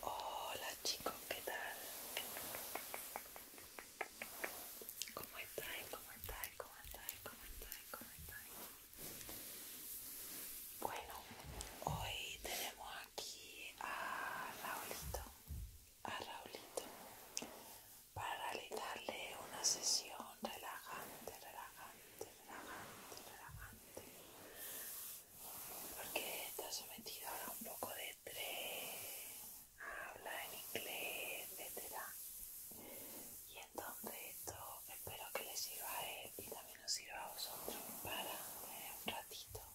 Hola chicos, ¿qué tal? ¿Cómo estáis? ¿Cómo estáis? ¿Cómo estáis? ¿Cómo estáis? Bueno, hoy tenemos aquí a Raulito, a Raulito para darle una sesión relajante, relajante, relajante, relajante. Porque está sometido ahora un poco de estrés, habla en inglés, etcétera. Y entonces esto espero que les sirva a él y también nos sirva a vosotros para un ratito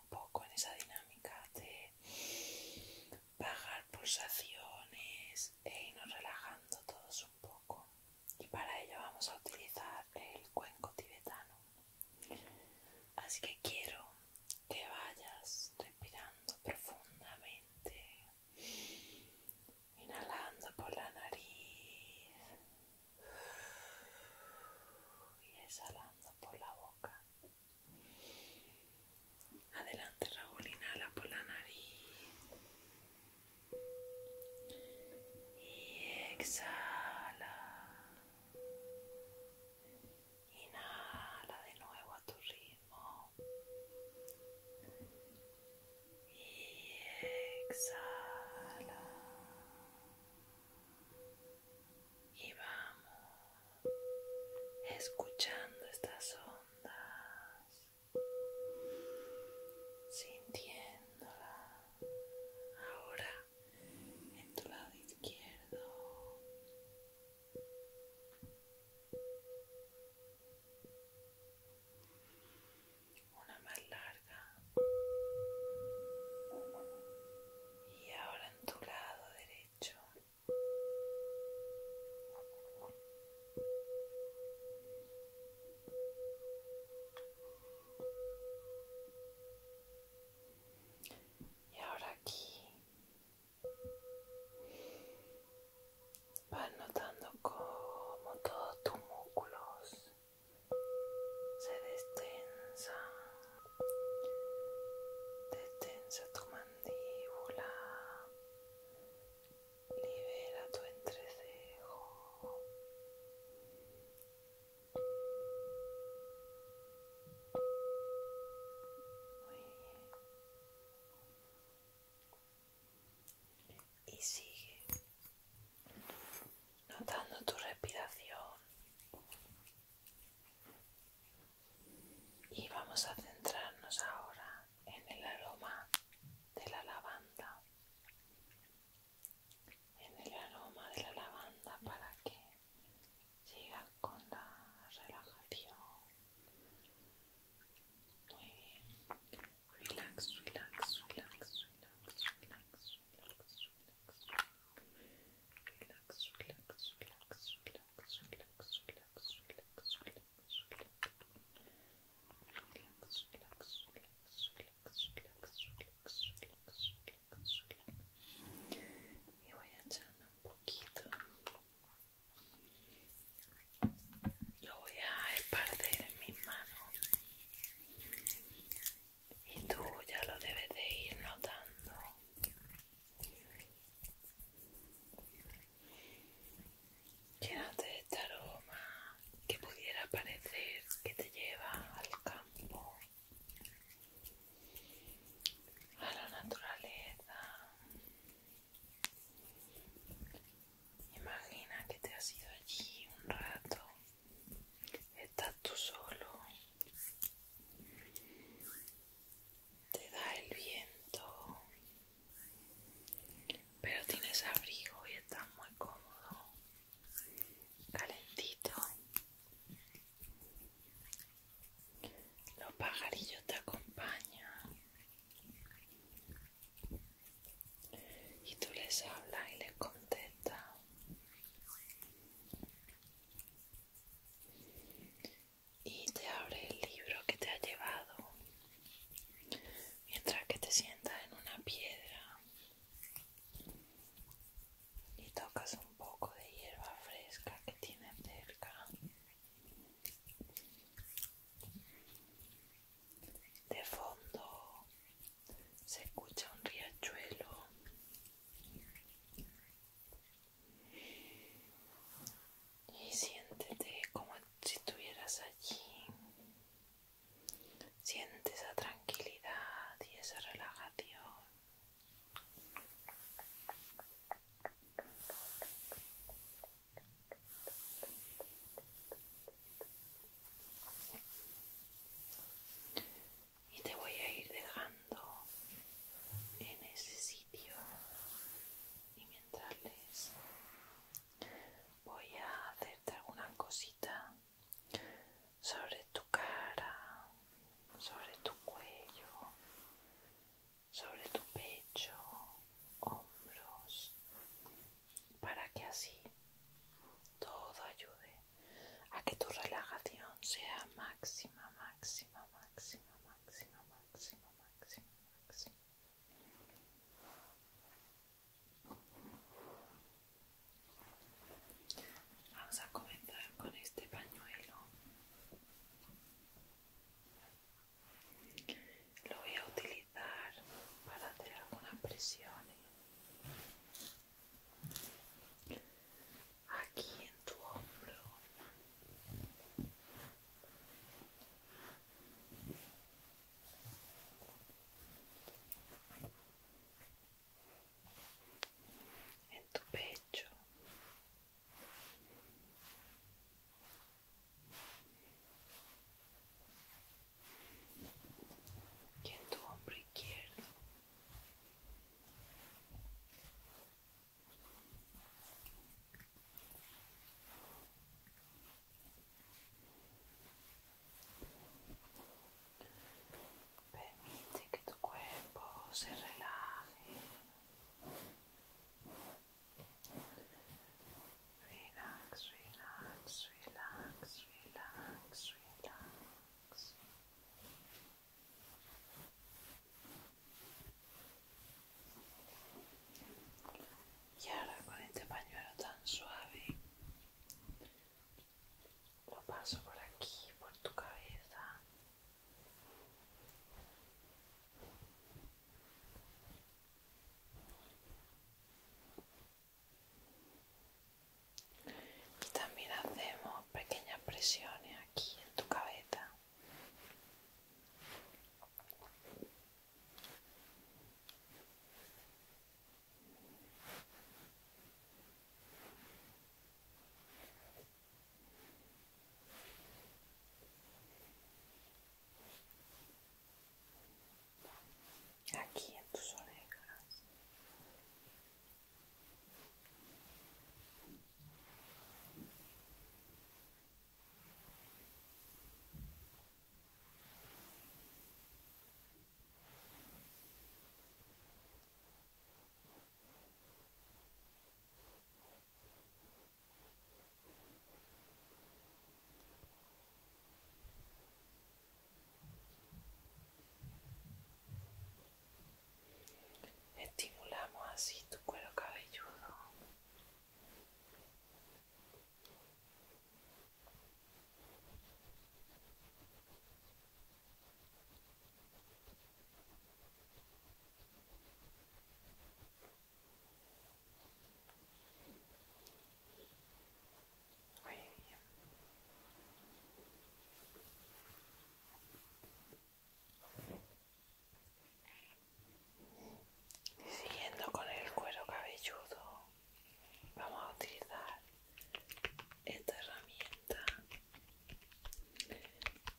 un poco en esa dinámica de bajar pulsaciones e irnos relajando todos un poco. Y para ello vamos a utilizar el cuenco tibetano. Así que quiero que vayas respirando profundamente, inhalando por la nariz y exhalando por la boca. Adelante, Raúl, inhala por la nariz. Y exhala. Inhala de nuevo a tu ritmo. Y exhala y vamos escuchando estas ondas, sintiéndola ahora en tu lado izquierdo. Una más larga y ahora en tu lado derecho y ahora aquí vas notando cómo todos tus músculos se destensan Detensa tu mandíbula. Libera tu entrecejo. Y sigue notando tu respiración y vamos a centrarnos ahora en el aroma de la lavanda. En el aroma de la lavanda para que llegue con la relajación. Muy bien. relax, relax, relax, relax, relax, relax. relax relax, relax, relax, relax, relax, relax, relax, relax, relax, relax, relax, relax, relax, relax, y voy a echarme un poquito lo voy a esparcer en mis manos y tú ya lo debes de ir notando. de este aroma que pudiera parecer que te lleva al campo, a la naturaleza. Imagina que te has ido allí un rato estás tú solo, te da el viento, pero tienes abrigo y estás muy cómodo, calentito. Los pajarillos te acompañan y tú les hablas y les contestas y te abre el libro que te ha llevado mientras que te sientas en una piedra y tocas un poco de hierba fresca que tiene cerca. De fondo se escucha un riachuelo y siéntete como si estuvieras allí siente esa tranquilidad y esa relajación y te voy a ir dejando en ese sitio y mientras les voy a hacerte alguna cosita sobre tu cara sobre tu cuello sobre tu pecho hombros para que así todo ayude a que tu relajación sea máxima, máxima, máxima, máxima, máxima, máxima, máxima. Vamos a comenzar con este pañuelo. Lo voy a utilizar para hacer algunas presiones aquí en tu hombro en tu pecho que tu hombro izquierdo permite que tu cuerpo se relaje Relax, relax, relax, relax, relax. Y ahora con este pañuelo tan suave lo paso por aquí, por tu cabeza y también hacemos pequeñas presiones aquí en tu cabeza aquí en tus orejas Estimulamos así tu cuero cabelludo. Muy bien. siguiendo con el cuero cabelludo, vamos a utilizar esta herramienta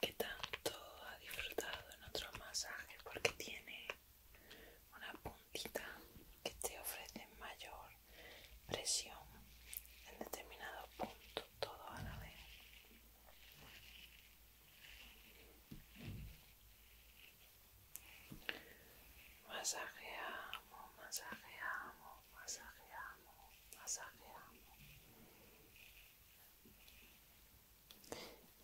que tanto ha disfrutado en otros masajes porque tiene una punta que te ofrece mayor presión en determinado punto, todo a la vez. Masajeamos, masajeamos, masajeamos, masajeamos.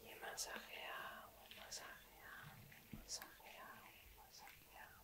Y masajeamos, masajeamos, masajeamos, masajeamos.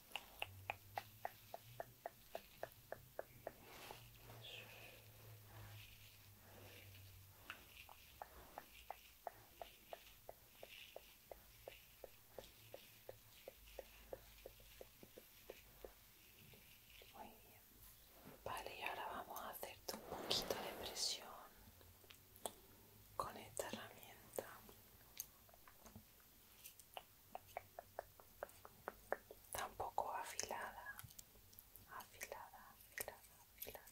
Muy Vale, y ahora vamos a hacerte un poquito de presión con esta herramienta tampoco afilada, afilada, afilada, afilada.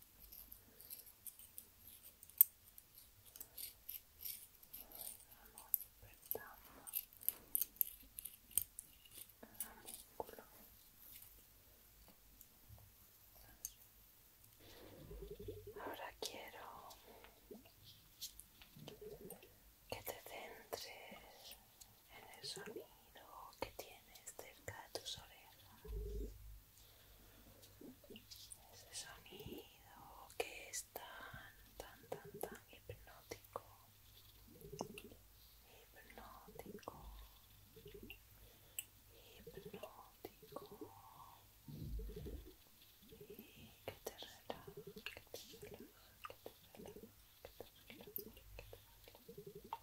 Vamos despertando cada músculo. Ahora quiero que te centres en el sonido sonido que tienes cerca de tus orejas. Ese sonido que es tan, tan, tan, tan hipnótico. Hipnótico. Hipnótico. Y te relaja, que te relaja, que te relaja, que te relaja, que te relaja.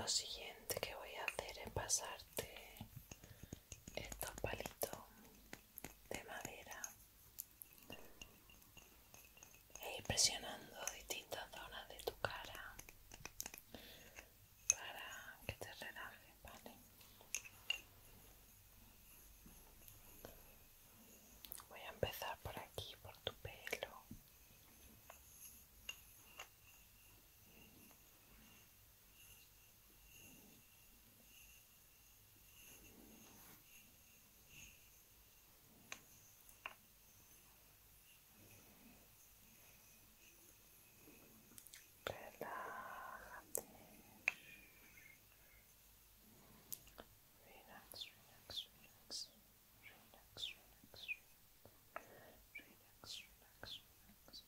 Lo siguiente que voy a hacer es pasarte estos palitos de madera e presionando distintas zonas de tu cara para que te relajes, ¿vale? Voy a empezar por aquí, por tu pelo. Relájate. Relax, relax, relax. Relax, relax, relax. Relax, relax, relax.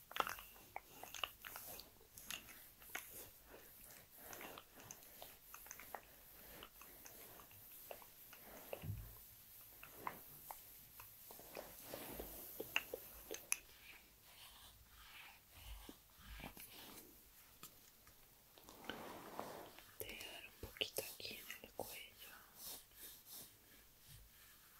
Te voy a dar un poquito aquí en el cuello.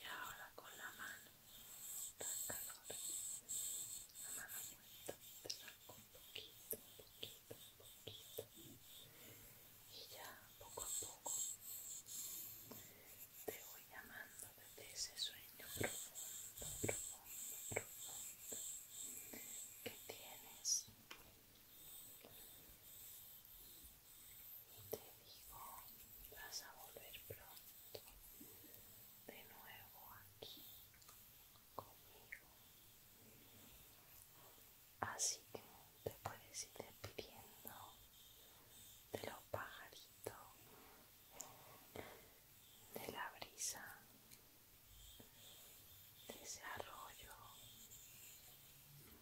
Y ahora con la mano tan calor, la mano muerta, te saco un poquito, un poquito, un poquito. Y ya poco a poco te voy llamando desde ese sueño profundo, profundo, profundo que tienes. Te digo, vas a volver pronto de nuevo aquí conmigo. Así que te puedes ir despidiendo de los pajaritos, de la brisa, de ese arroyo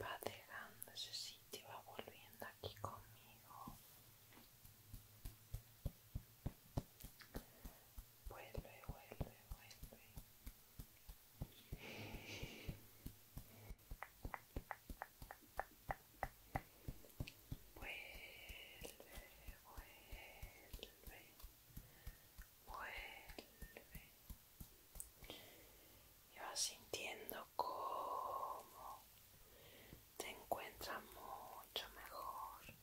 va dejando ese sitio, va volviendo aquí conmigo. Vuelve, vuelve, vuelve. Vuelve, vuelve vuelve y vas sintiendo cómo te encuentras mucho mejor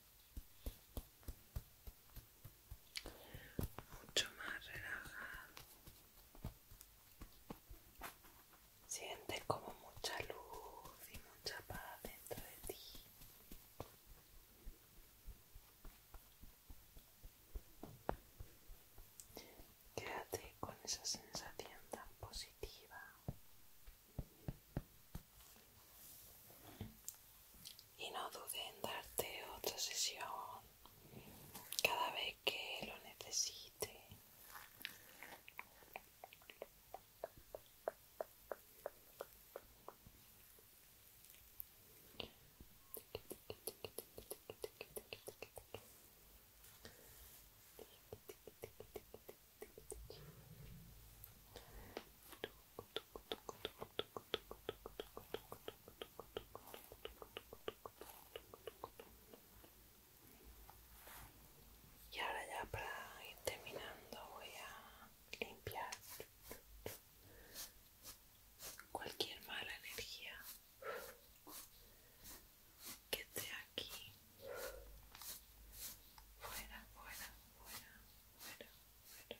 mucho más relajado sientes como mucha luz y mucha paz dentro de ti Quédate con esa sensación tan positiva. Y no dudes en darte otra sesión cada vez que lo necesite. Y ahora ya para ir terminando voy a limpiar cualquier mala energía que esté aquí fuera fuera fuera fuera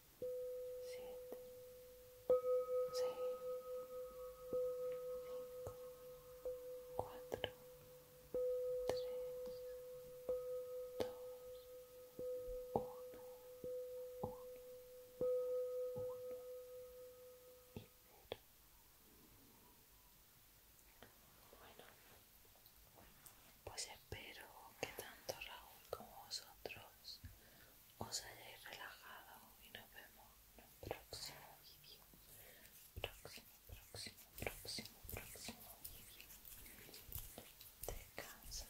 siete, seis, cuatro, tres, dos, uno, Bueno, pues espero que tanto Raúl como vosotros os hayáis relajado y nos vemos en un próximo vídeo. Próximo, próximo, próximo, próximo vídeo. Descansa.